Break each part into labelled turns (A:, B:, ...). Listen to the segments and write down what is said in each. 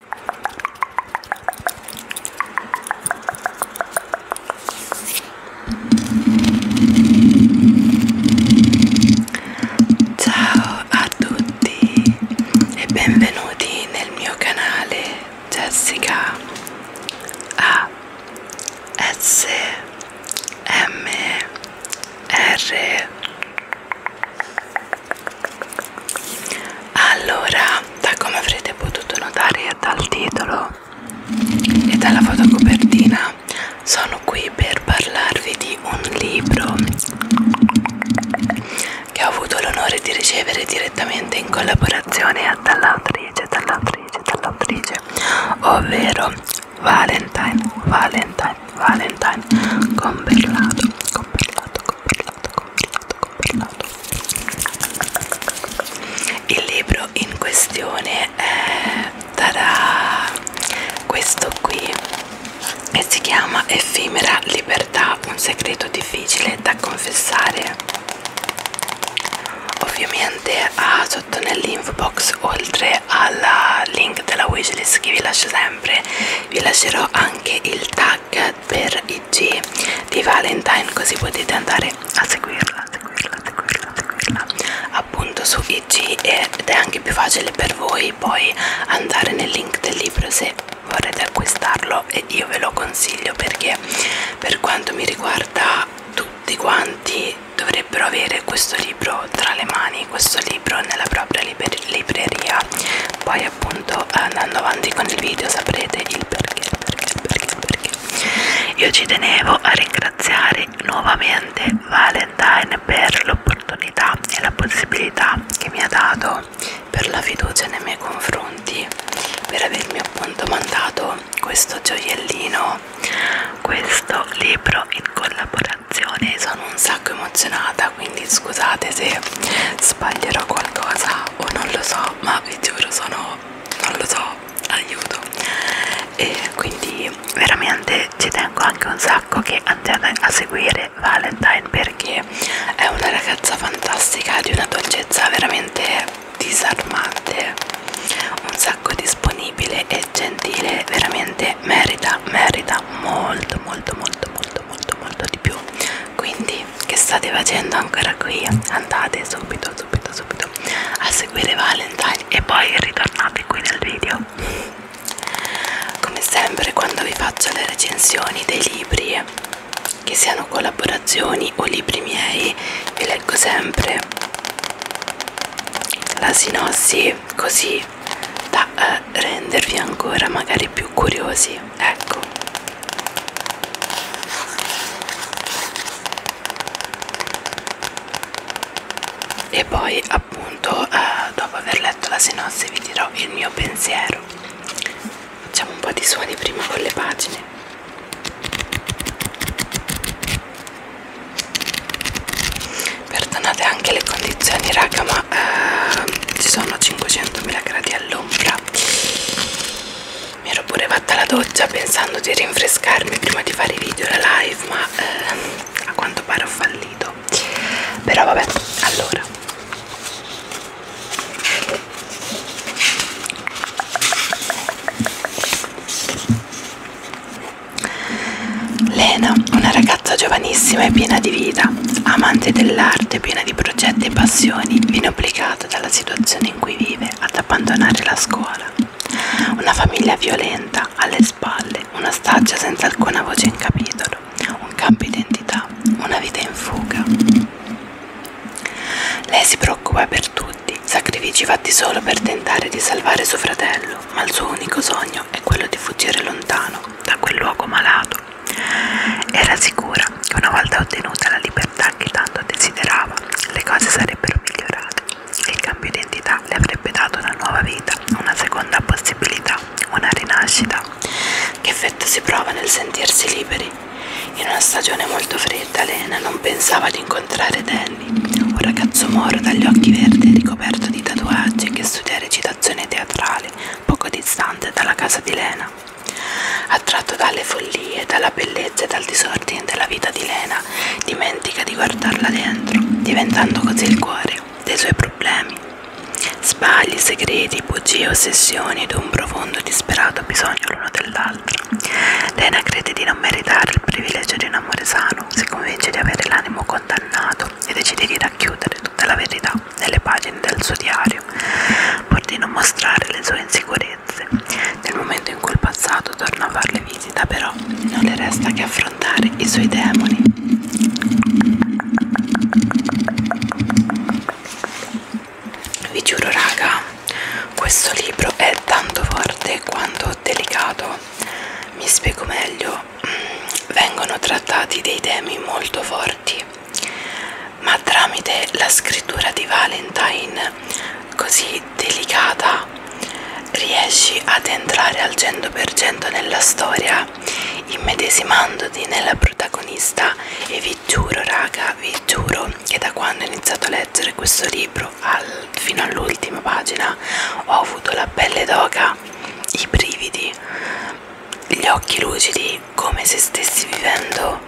A: Ciao a tutti e benvenuti nel mio canale Jessica A S M R allora, da come avrete potuto notare dal titolo e dalla fotocopertina, sono qui per parlarvi di un libro che ho avuto l'onore di ricevere direttamente in collaborazione dall'autrice, dall'autrice, dall'autrice, ovvero Valentine, Valentine, Valentine, Comberlato, Comberlato, Comberlato, Comberlato, comprato il libro in questione è eh, tarà, questo qui e si chiama Effimera Libertà un segreto difficile da confessare ovviamente ah, sotto nell'info box oltre al link della wishlist che vi lascio sempre vi lascerò anche il tag H per IG di Valentine così potete andare a seguirla, a seguirla, a seguirla, a seguirla appunto su IG ed è anche più facile per voi poi andare nel link del libro se vorrete acquistarlo e io ve lo consiglio perché per quanto mi riguarda tutti quanti dovrebbero avere questo libro tra le mani questo libro nella propria libreria poi appunto andando avanti con il video saprete il perché, perché, perché, perché. Io ci tenevo a ringraziare nuovamente Valentine per l'opportunità e la possibilità che mi ha dato, per la fiducia nei miei confronti, per avermi appunto mandato questo gioiellino, questo libro in collaborazione. Sono un sacco emozionata quindi scusate se sbaglierò qualcosa o non lo so ma vi giuro sono non lo so aiuto e quindi veramente ci tengo anche un sacco che andiate a seguire Valentine perché è una ragazza fantastica di una dolcezza veramente disarmante un sacco disponibile e gentile veramente merita merita molto molto molto molto molto molto molto di più quindi che state facendo ancora qui andate subito subito subito a seguire Valentine e poi ritornate qui nel video come sempre quando vi faccio le recensioni dei libri che siano collaborazioni o libri miei vi leggo sempre la sinossi così da eh, per rendervi ancora magari più curiosi ecco e poi appunto eh, dopo aver letto la sinossi vi dirò il mio pensiero facciamo un po' di suoni prima con le pagine Perdonate anche le condizioni raga ma eh, ci sono 500.000 gradi all'ora all'ombra mi ero pure fatta la doccia pensando di rinfrescarmi prima di fare i video la live ma eh, a quanto pare ho fallito però vabbè allora Lena, una ragazza giovanissima e piena di vita, amante dell'arte, piena di progetti e passioni viene obbligata dalla situazione in cui vive ad abbandonare la scuola. Una famiglia violenta alle spalle, una staggia senza alcuna voce in capitolo, un campo identità, una vita in fuga. Lei si preoccupa per tutti, sacrifici fatti solo per tentare di salvare suo fratello, ma il suo unico sogno è quello di fuggire lontano da quel luogo malato mondo. Era sicura che una volta ottenuta la libertà che tanto desiderava, le cose sarebbero migliorate. Il cambio di identità le avrebbe dato una nuova vita, una seconda possibilità, una rinascita. Che effetto si prova nel sentirsi liberi? In una stagione molto fredda, Lena non pensava di incontrare Danny, un ragazzo moro dagli occhi verdi e ricoperto di tatuaggi che studia recitazione teatrale, poco distante dalla casa di Lena. Attratto dalle follie, dalla bellezza e dal disordine della vita di Lena, dimentica di guardarla dentro, diventando così il cuore dei suoi problemi. Sbagli, segreti, bugie, ossessioni ed un profondo e disperato bisogno l'uno dell'altro. Lena crede di non meritare il privilegio di un amore sano, si convince di avere l'animo condannato e decide di racchiudere tutta la verità nelle pagine del suo diario, pur di non mostrare le sue insicurezze. Nel momento in cui il passato torna a farle visita, però, non le resta che affrontare i suoi demoni. Vi giuro, raga, questo libro è tanto forte quanto delicato. Mi spiego meglio, mm, vengono trattati dei temi molto forti ma tramite la scrittura di Valentine così delicata riesci ad entrare al 100% nella storia immedesimandoti nella protagonista e vi giuro raga vi giuro che da quando ho iniziato a leggere questo libro al, fino all'ultima pagina ho avuto la pelle d'oca i brividi gli occhi lucidi quindi come se stessi vivendo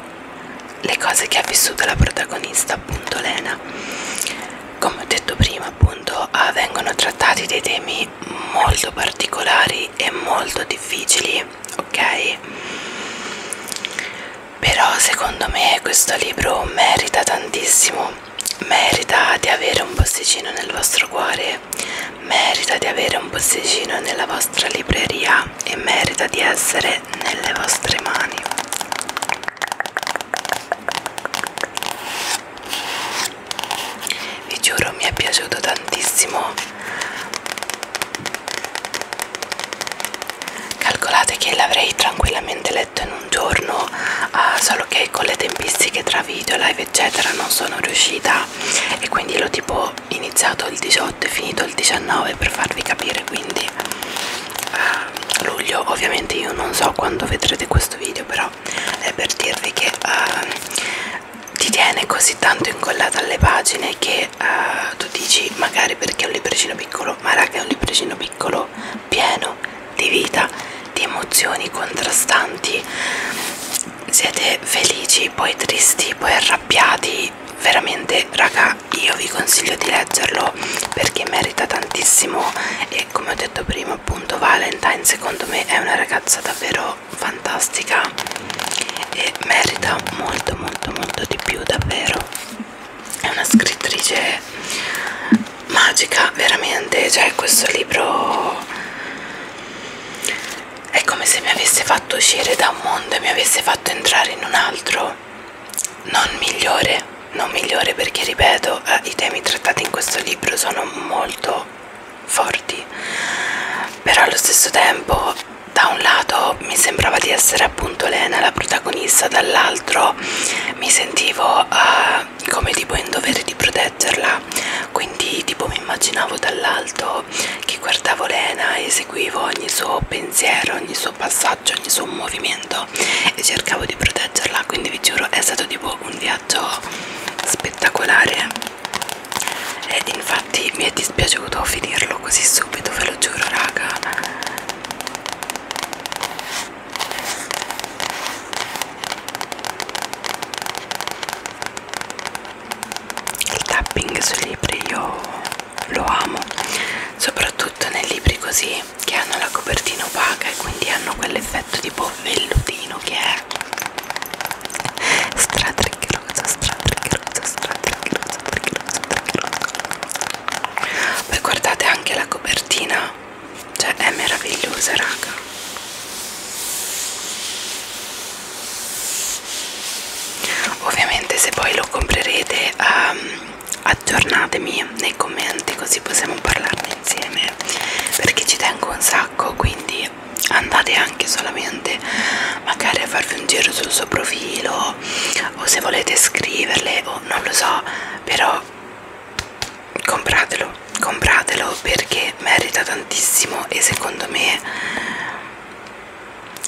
A: le cose che ha vissuto la protagonista appunto Lena come ho detto prima appunto ah, vengono trattati dei temi molto particolari e molto difficili ok però secondo me questo libro merita tantissimo merita di avere un posticino nel vostro cuore Natale merita di avere un posticino nella vostra libreria e merita di essere nelle vostre mani vi giuro mi è piaciuto tantissimo calcolate che l'avrei tranquillamente letto in un giorno uh, solo che con le tempistiche tra video live eccetera non sono riuscita e quindi l'ho tipo iniziato il 18 e finito il 19 per farvi capire quindi uh, luglio ovviamente io non so quando vedrete questo video però è per dirvi che uh, ti tiene così tanto incollata alle pagine che uh, tu dici magari perché è un libricino piccolo ma raga è un libricino piccolo pieno di vita di emozioni contrastanti siete felici, poi tristi, poi arrabbiati, veramente raga io vi consiglio di leggerlo perché merita tantissimo e come ho detto prima appunto Valentine secondo me è una ragazza davvero fantastica e merita molto molto molto di più davvero è una scrittrice magica veramente cioè questo libro è come se mi avesse fatto uscire da un mondo e mi avesse fatto entrare in un altro non migliore, non migliore perché ripeto eh, i temi trattati in questo libro sono molto forti, però allo stesso tempo da un lato mi sembrava di essere appunto Lena la protagonista, dall'altro mi sentivo eh, come tipo in dovere di proteggerla musica quindi tipo mi immaginavo dall'alto che guardavo Lena e seguivo ogni suo pensiero ogni suo passaggio ogni suo movimento e cercavo di proteggerla quindi vi giuro è stato tipo un viaggio spettacolare e infatti mi è dispiaciuto finirlo così subito ve lo giuro raga il tapping sui libri io lo amo soprattutto nei libri così che hanno la copertina opaca e quindi hanno quell'effetto tipo vellutino che è stratriccheroso stratriccheroso stratriccheroso stratriccheroso poi guardate anche la copertina cioè è meravigliosa raga ovviamente se poi lo comprerete um, aggiornatemi nei commenti così possiamo parlarne insieme perché ci tengo un sacco quindi andate anche solamente magari a farvi un giro sul suo profilo o se volete scriverle o non lo so però compratelo compratelo perché merita tantissimo e secondo me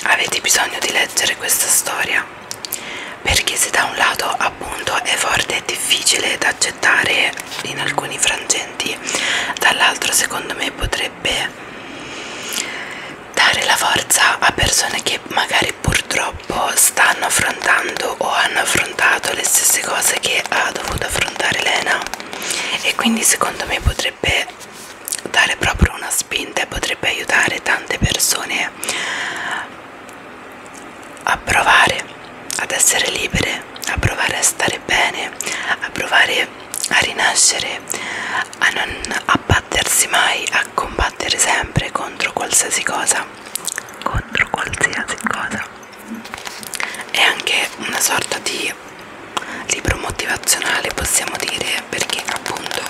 A: avete bisogno di leggere questa storia perché se da un lato appunto è forte e difficile da accettare in alcuni frangenti dall'altro secondo me potrebbe dare la forza a persone che magari purtroppo stanno affrontando o hanno affrontato le stesse cose che ha dovuto affrontare Lena e quindi secondo me potrebbe potrebbe dare proprio una spinta e potrebbe aiutare tante persone a provare ad essere libere, a provare a stare bene, a provare a rinascere, a non abbattersi mai, a combattere sempre contro qualsiasi cosa, contro qualsiasi cosa. È anche una sorta di quindi libro motivazionale possiamo dire perché appunto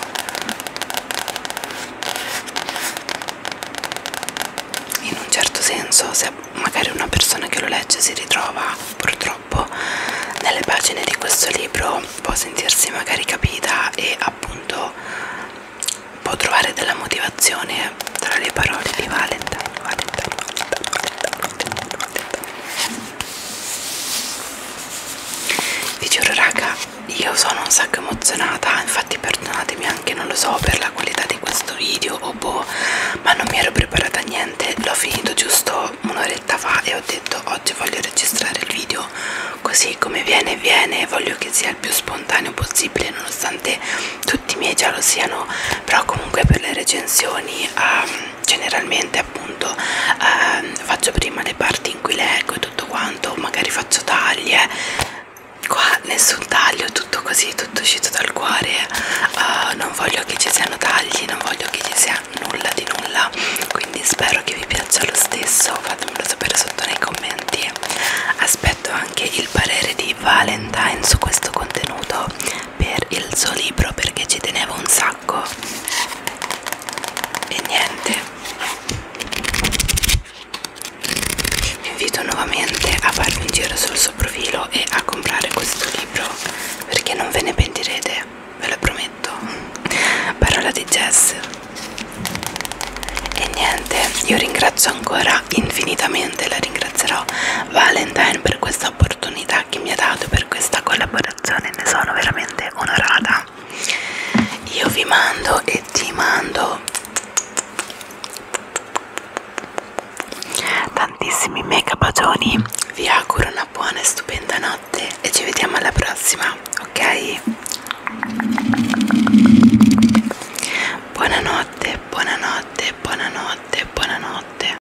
A: in un certo senso se magari una persona che lo legge si ritrova purtroppo nelle pagine di questo libro può sentirsi magari capita e appunto può trovare della motivazione tra le parole di Valentine, Valentine, Valentine, Valentine, Valentine vi giuro raga io sono un sacco emozionata infatti perdonatemi anche non lo so per la qualità di questo video o oh boh ma non mi ero preparata a niente l'ho finito giusto un'oretta fa e ho detto oggi voglio registrare il video così come viene viene voglio che sia il più spontaneo possibile nonostante tutti i miei già lo siano però comunque per le recensioni um, generalmente appunto eh, faccio prima le parti in cui leggo e tutto quanto magari faccio taglie eh. qua nessun taglio tutto così tutto uscito dal cuore eh, non voglio che ci siano tagli non voglio che ci sia nulla di nulla quindi spero che vi piaccia lo stesso fatemelo sapere sotto nei commenti aspetto anche il parere di Valentine su questo contenuto per il suo libro perché ci tenevo un sacco sacco e niente vi invito nuovamente a farvi un giro sul suo profilo e a comprare questo libro perché non ve ne pentirete ve lo prometto parola di Jess e niente io ringrazio ancora infinitamente la ringrazierò Vale Valentine per questa opportunità che mi ha dato per questa collaborazione ne sono veramente onorata io vi mando e ti mando tantissimi mega bacioni vi auguro una buona e stupenda notte e ci vediamo alla prossima ok buonanotte buonanotte buonanotte buonanotte